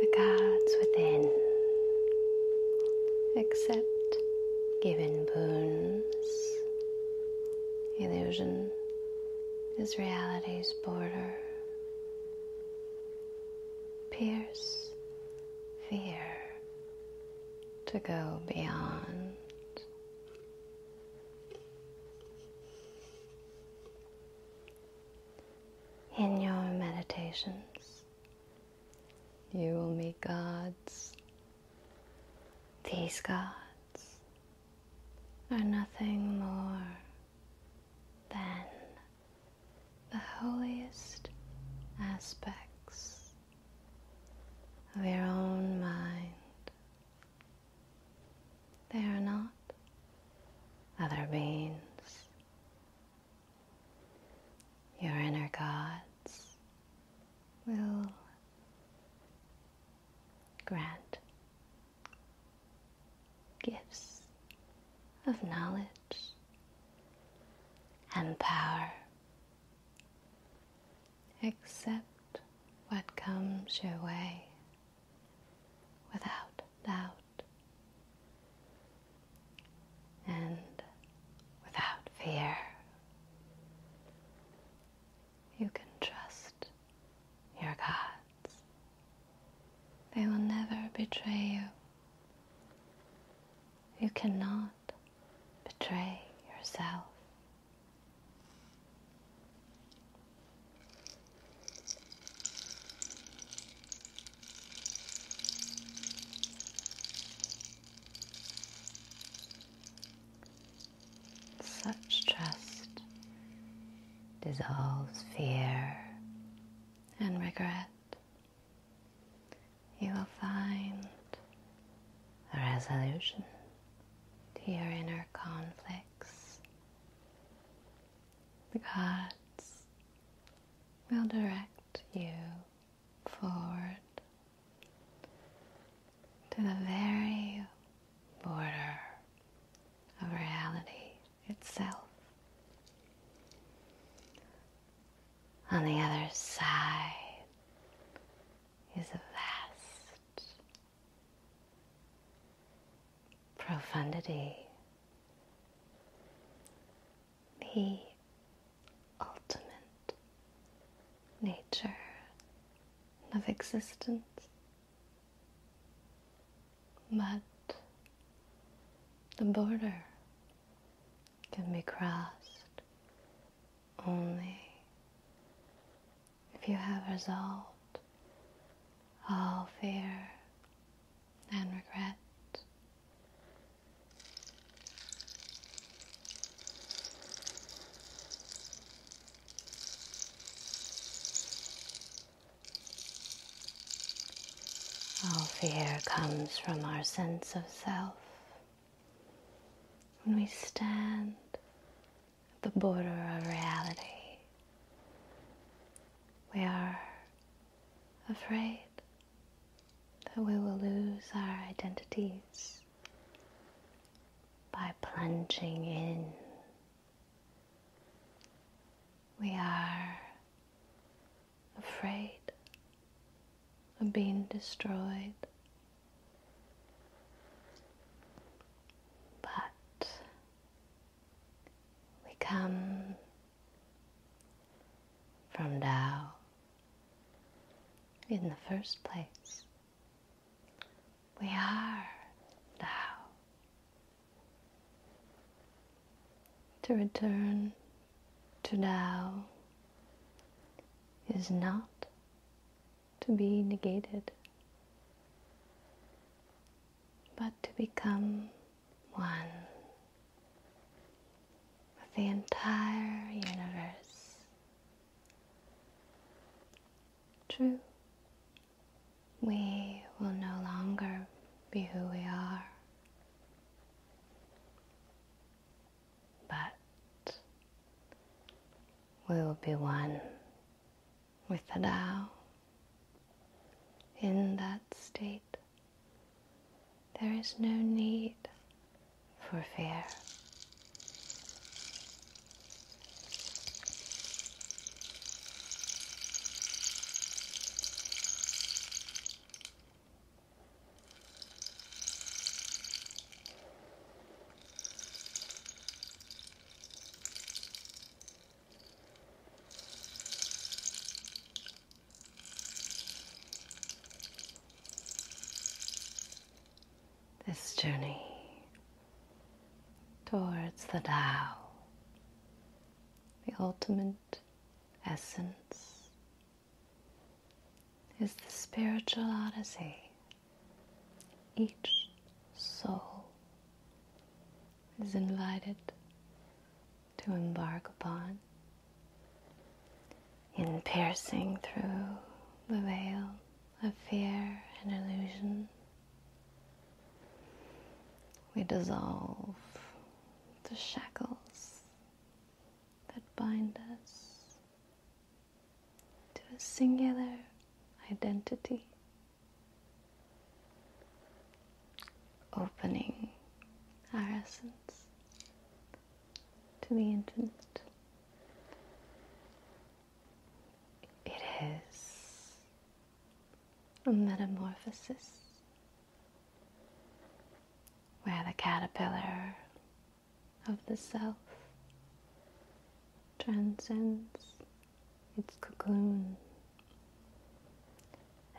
the gods within. accept given boons. Illusion is reality's border. Pierce fear to go beyond. In your meditations, you will meet gods. These gods are nothing more then the holiest aspects of your own mind. They are not other beings. Your inner gods will grant gifts of knowledge and power. Accept what comes your way without doubt and without fear. You can trust your God. They will never betray you. You cannot betray yourself. Such trust dissolves fear and regret. You will find a resolution to your inner conflicts. The gods will direct you forward to the very border of reality itself. On the other side is a vast profundity, the ultimate nature of existence. But the border can be crossed only if you have resolved all fear and regret. All fear comes from our sense of self. When we stand at the border of reality, we are afraid that we will lose our identities by plunging in. We are afraid of being destroyed, but we come from Tao in the first place. We are now. To return to now is not to be negated, but to become one with the entire universe True, we will no longer be who we are, but we will be one with the Tao. In that state, there is no need for fear this journey towards the Tao, the ultimate essence, is the spiritual odyssey. Each soul is invited to embark upon in piercing through the veil of fear and illusion. We dissolve the shackles that bind us to a singular identity, opening our essence to the infinite. It is a metamorphosis where the caterpillar of the self transcends its cocoon,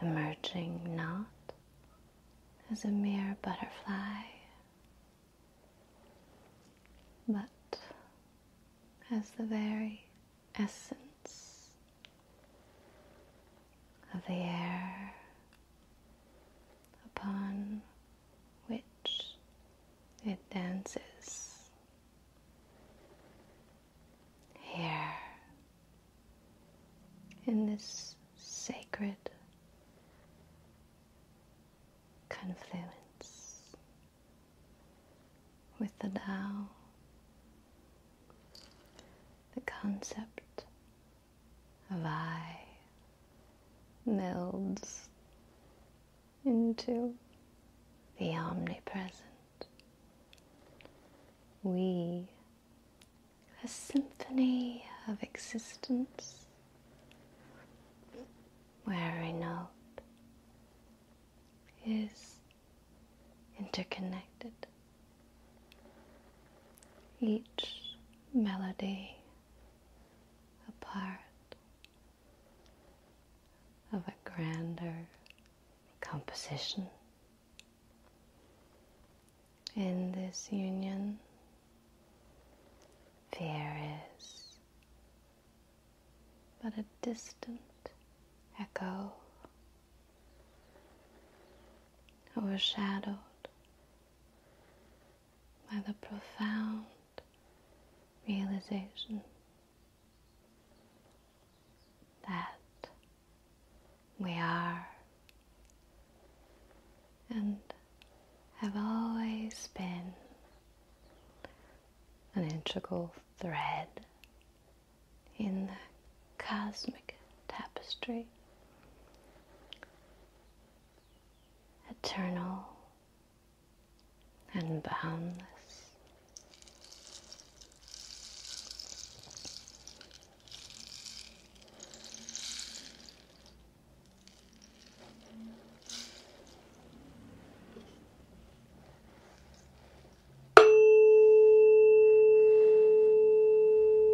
emerging not as a mere butterfly, but as the very essence of the air upon which it dances. Here in this sacred confluence with the Tao, the concept of I melds into the omnipresent. We a symphony of existence where every note is interconnected. Each melody a part of a grander composition. In this union, fear is but a distant echo overshadowed by the profound realization that we are and have always been an integral thread in the cosmic tapestry, eternal and boundless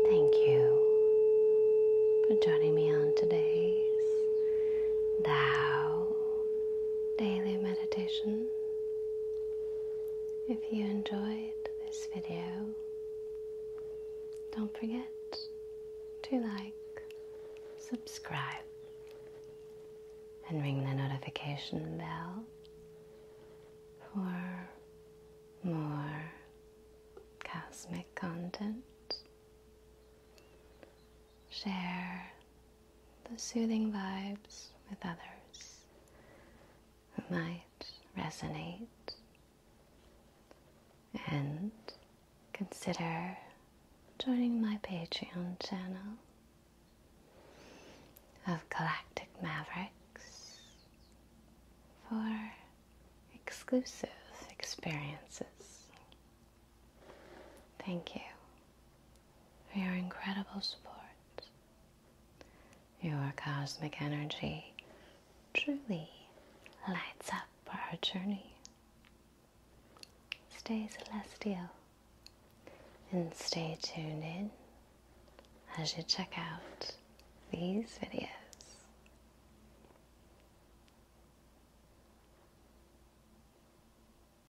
Thank you for joining me on today's Tao Daily Meditation. If you enjoyed this video, don't forget to like, subscribe, and ring the notification bell for more cosmic content. Share the soothing vibes with others who might resonate and consider joining my Patreon channel of Galactic Mavericks for exclusive experiences. Thank you for your incredible support. Your cosmic energy truly lights up our journey. Stay celestial and stay tuned in as you check out these videos.